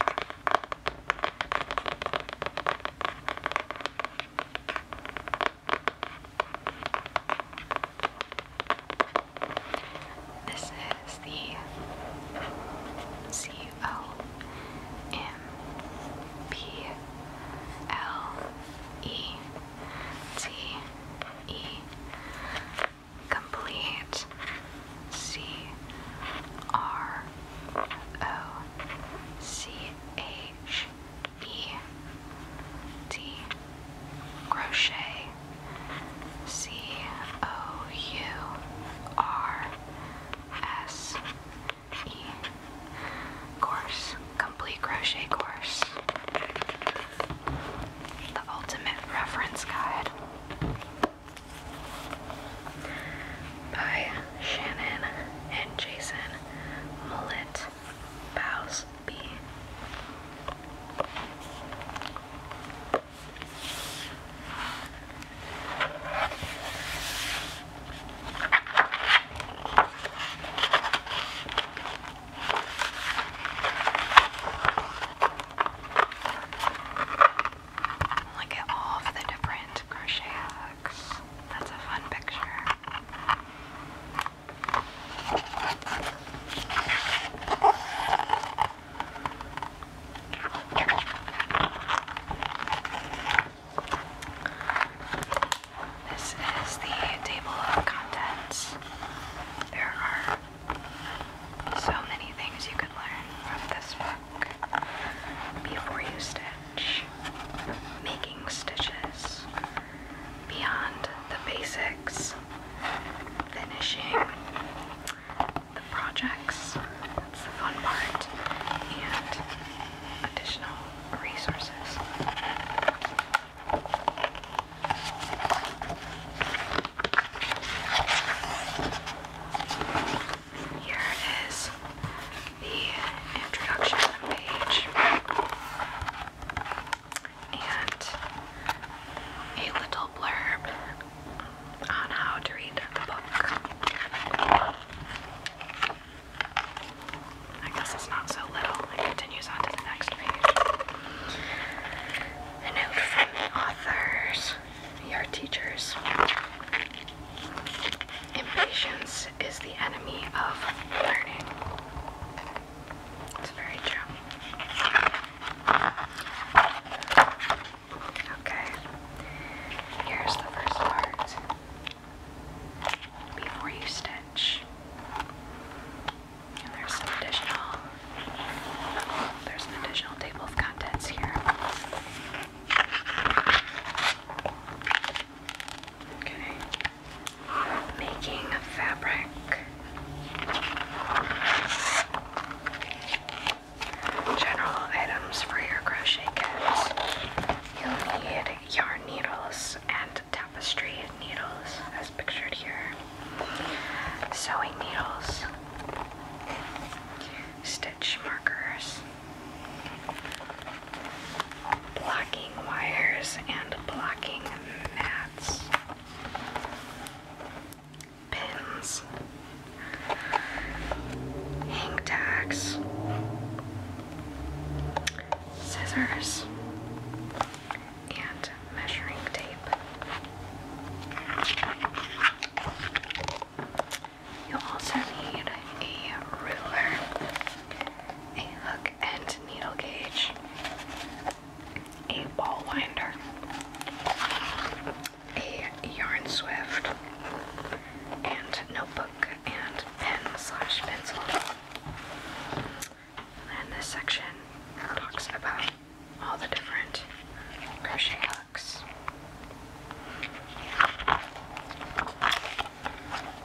This is the C O M P L E T E complete C R O C H E T crochet C O U R S E course complete crochet course the ultimate reference guide by Shannon and Jason Mullet Bows Look at all of the different crochet hooks. That's a fun picture. This is the table of contents. There are so many things you could learn from this book before you stitch, making stitches beyond the basics, finishing the projects. That's the fun part, and additional resources. Here is the introduction page and a little blurb on how to read the book. I guess it's not so little. It continues on to the next page. A note from the authors. We are teachers. Impatience is the enemy of learning. It's very true. Okay, here's the first part. Before you stitch. And there's some additional there's an additional table of contents here. Okay. Making fabric. General items for your crochet kit. You'll need yarn needles and tapestry needles, as pictured here. Sewing needles stitch markers, blocking wires, and blocking mats, pins, hang scissors, and measuring tape. You'll also need a ruler, a hook and needle gauge, a ball winder, a yarn swift, and notebook and pen slash pencil. And this section talks about all the different crochet hooks.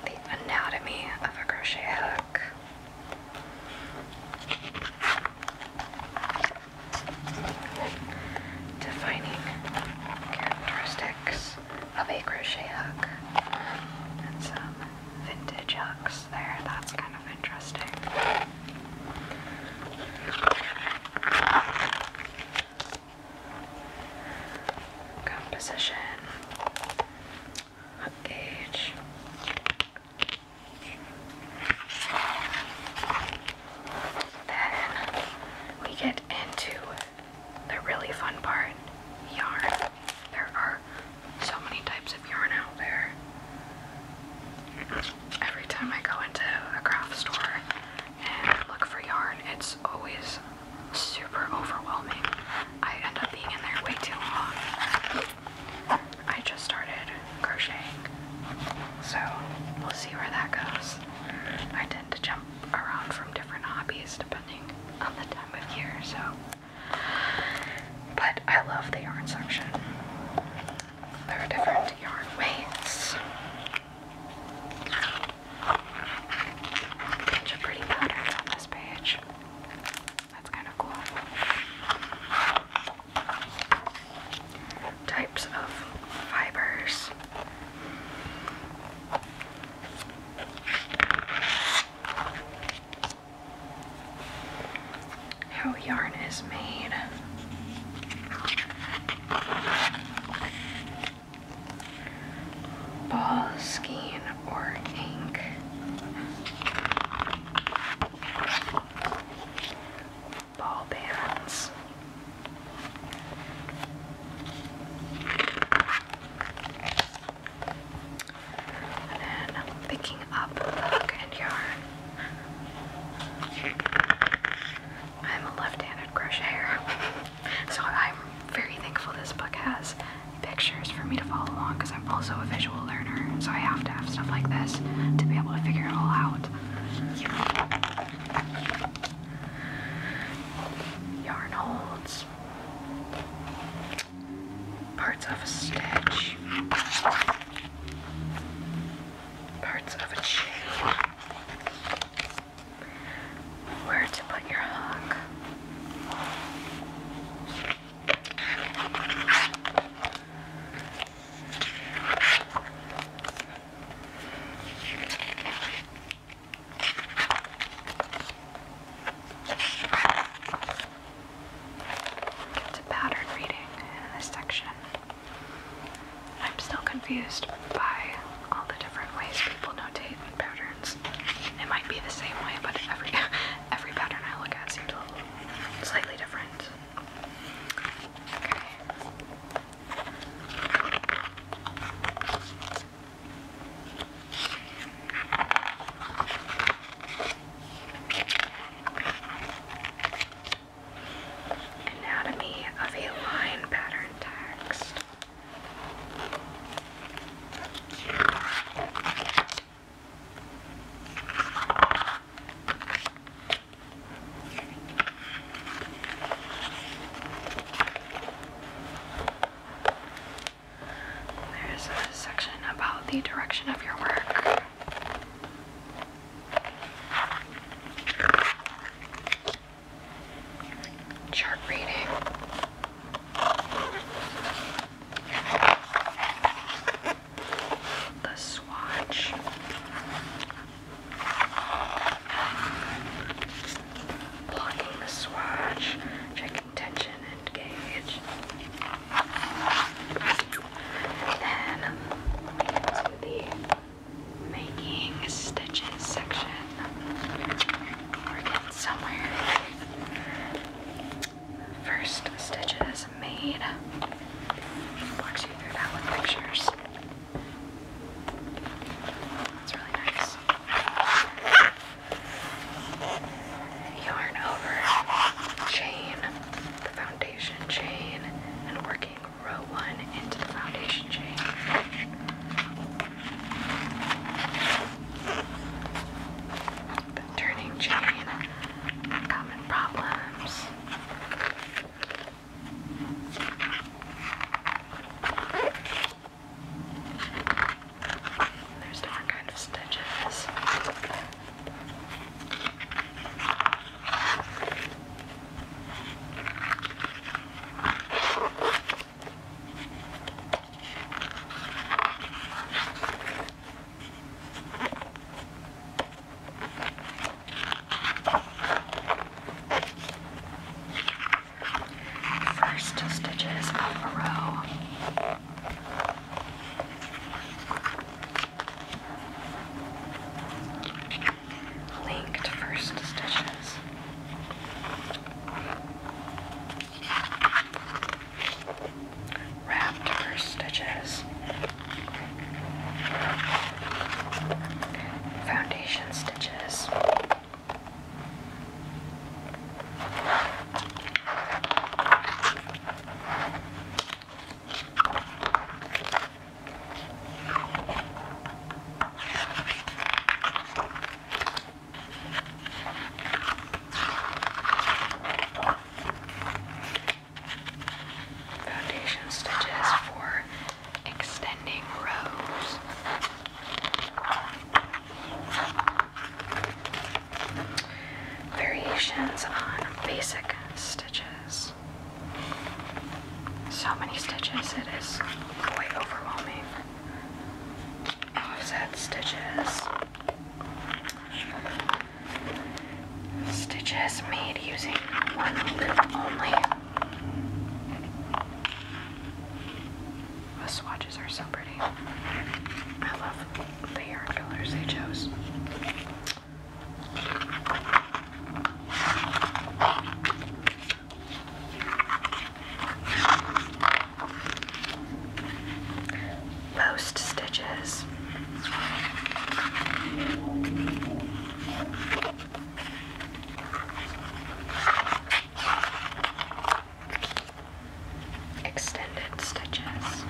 The anatomy of a crochet hook. Defining characteristics of a crochet hook. And some vintage hooks there, that's kind of interesting. Composition, gauge. Then we get into the really fun part yarn. There are so many types of yarn out there every time I go into a craft store and look for yarn, it's always super overwhelming. I end up being in there way too long. I just started crocheting, so we'll see where that goes. I tend to jump around from different hobbies depending on the time of year, so. But I love the yarn section. There are different yarn weights. A bunch of pretty patterns on this page. That's kind of cool. Types of fibers how yarn is made. Ball, skein, or ink. Ball bands. And picking up hook and yarn. I'm a left-handed crocheter, so I'm very thankful this book has pictures for me to follow along because I'm also a visual learner, so I have to have stuff like this to be able to figure it all out. Yarn holds parts of a stitch parts of a chain. Where to put your hook. Get to pattern reading in this section. I'm still confused by all the different ways people notate patterns. It might be the same way, but every every pattern I look at seems a little slightly different. Okay. Anatomy of a line pattern text. There's a section about the direction of your work. Chart reading. The swatch. Blocking the swatch. Checking tension and gauge. Then to the making stitches section. we somewhere. First stitches made. Walks you through that with pictures. That's really nice. Yarn over chain, the foundation foundation chain and working row one into the foundation chain. The turning chain, common problems. There's different kind of stitches. First stitches of a row. Linked first stitches. Wrapped first stitches. Foundation stitches. Foundation stitches for extending rows. Variations on basic stitches. So many stitches, it is quite overwhelming. Offset oh, stitches. Stitches made using one loop only. The swatches are so pretty. I love the yarn colors they chose. Post stitches. Extended stitches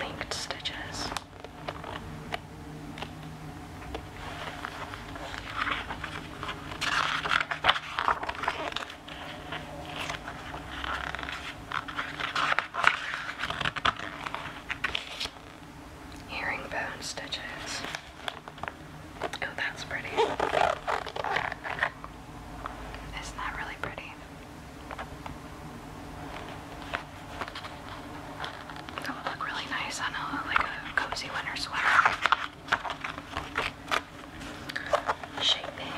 linked stitches. Herringbone stitches. Oh, that's pretty. Isn't that really pretty? That would look really nice on a like a cozy winter sweater. Shaping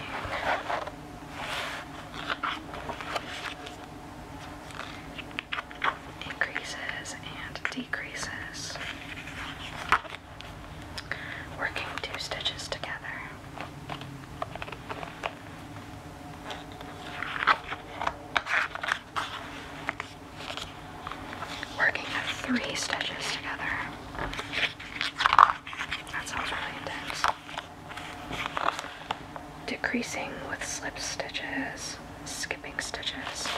increases and decreases, working two stitches together. Working three stitches together. That sounds really intense. Decreasing with slip stitches skipping stitches.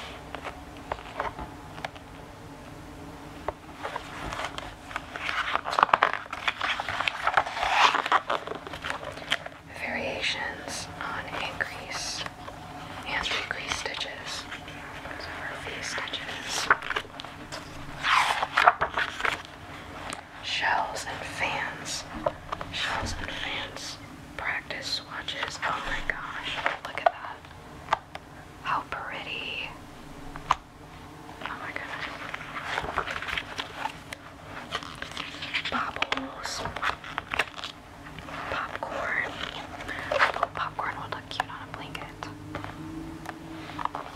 Variations on increase and decrease stitches. Those stitches. Shells and fans. Shells and fans. Practice swatches. Oh my gosh. Look at that. How pretty. Oh my goodness. Bobbles. Popcorn. Oh, popcorn would look cute on a blanket.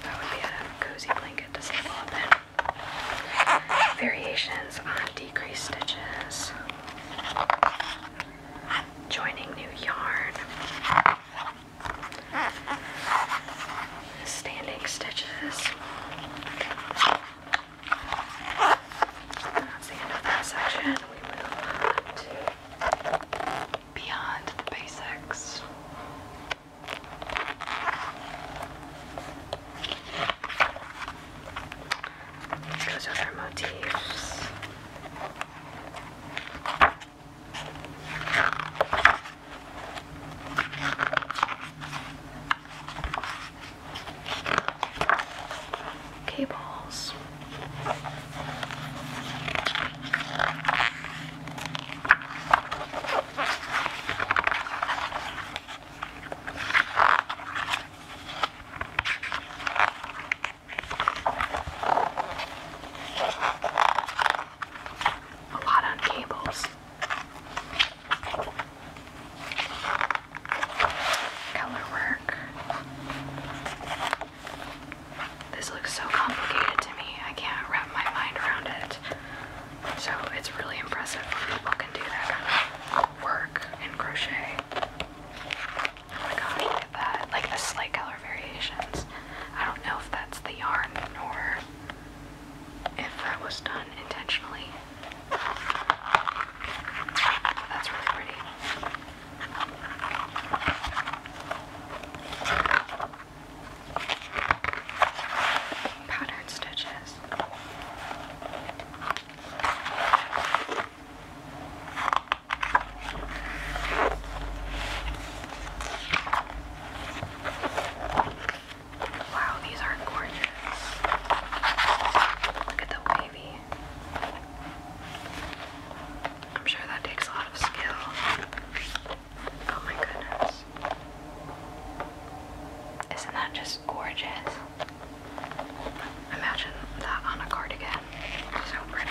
That would be a cozy blanket to sleep all Variations on decreased stitches. I'm joining new yarn. Standing stitches. That's the end of that section. We move on to beyond the basics. Those are their motifs. Cables. A lot on cables. Color This looks so complicated to me. I can't wrap my mind around it. So it's really impressive when people can do that kind of work and crochet. Oh my gosh, look at that. Like the slight color variations. I don't know if that's the yarn or if that was done intentionally. That's really pretty. Patterned stitches. Wow, these are gorgeous. Look at the wavy. I'm sure that takes a lot of skill. Oh my goodness. Isn't that just gorgeous. Imagine that on a cardigan. So pretty.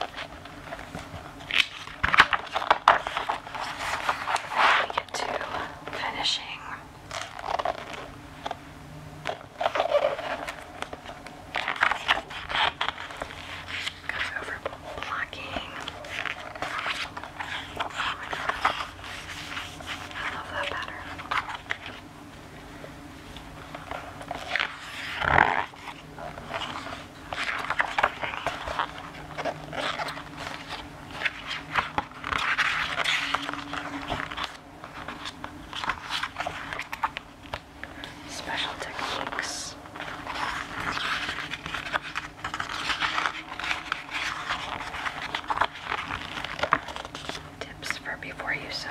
We get to finishing. Goes over blocking. Oh my god. I love that pattern. Special techniques. Tips for before you sew.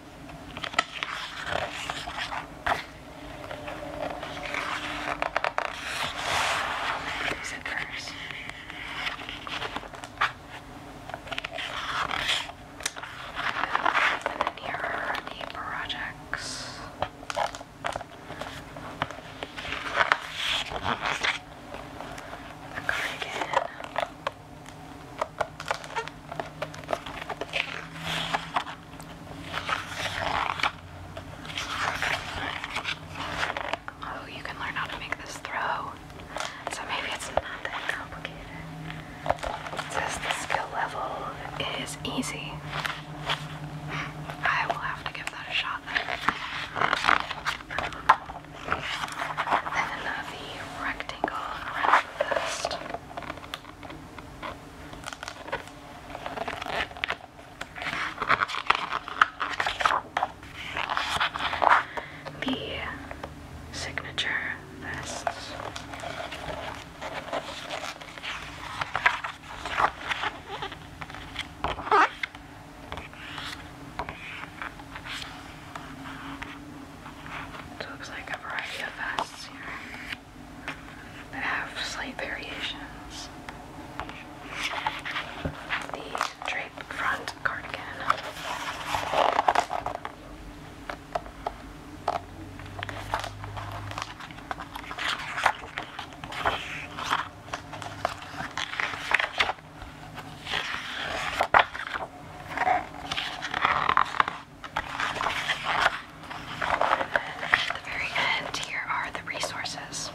These at first. And then here are the projects. A cardigan. Oh, you can learn how to make this throw. So maybe it's not that complicated. It the skill level is easy. I will have to give that a shot then. Then rectangle around the signature vests. It looks like a variety of vests here that have slight variations. The drape front cardigan. And at the very end, here are the resources.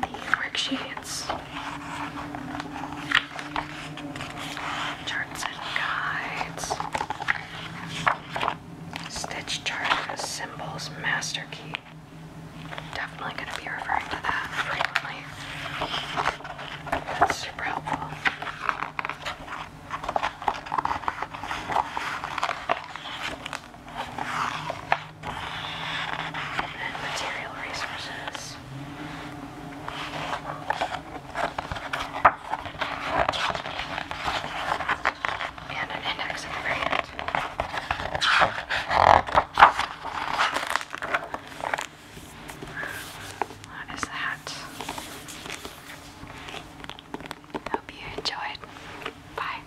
The worksheets, charts and guides, stitch chart, symbols, master key, definitely going to be referring to that That's super helpful. And material resources. And an index at the what is that? Hope you enjoyed. Bye.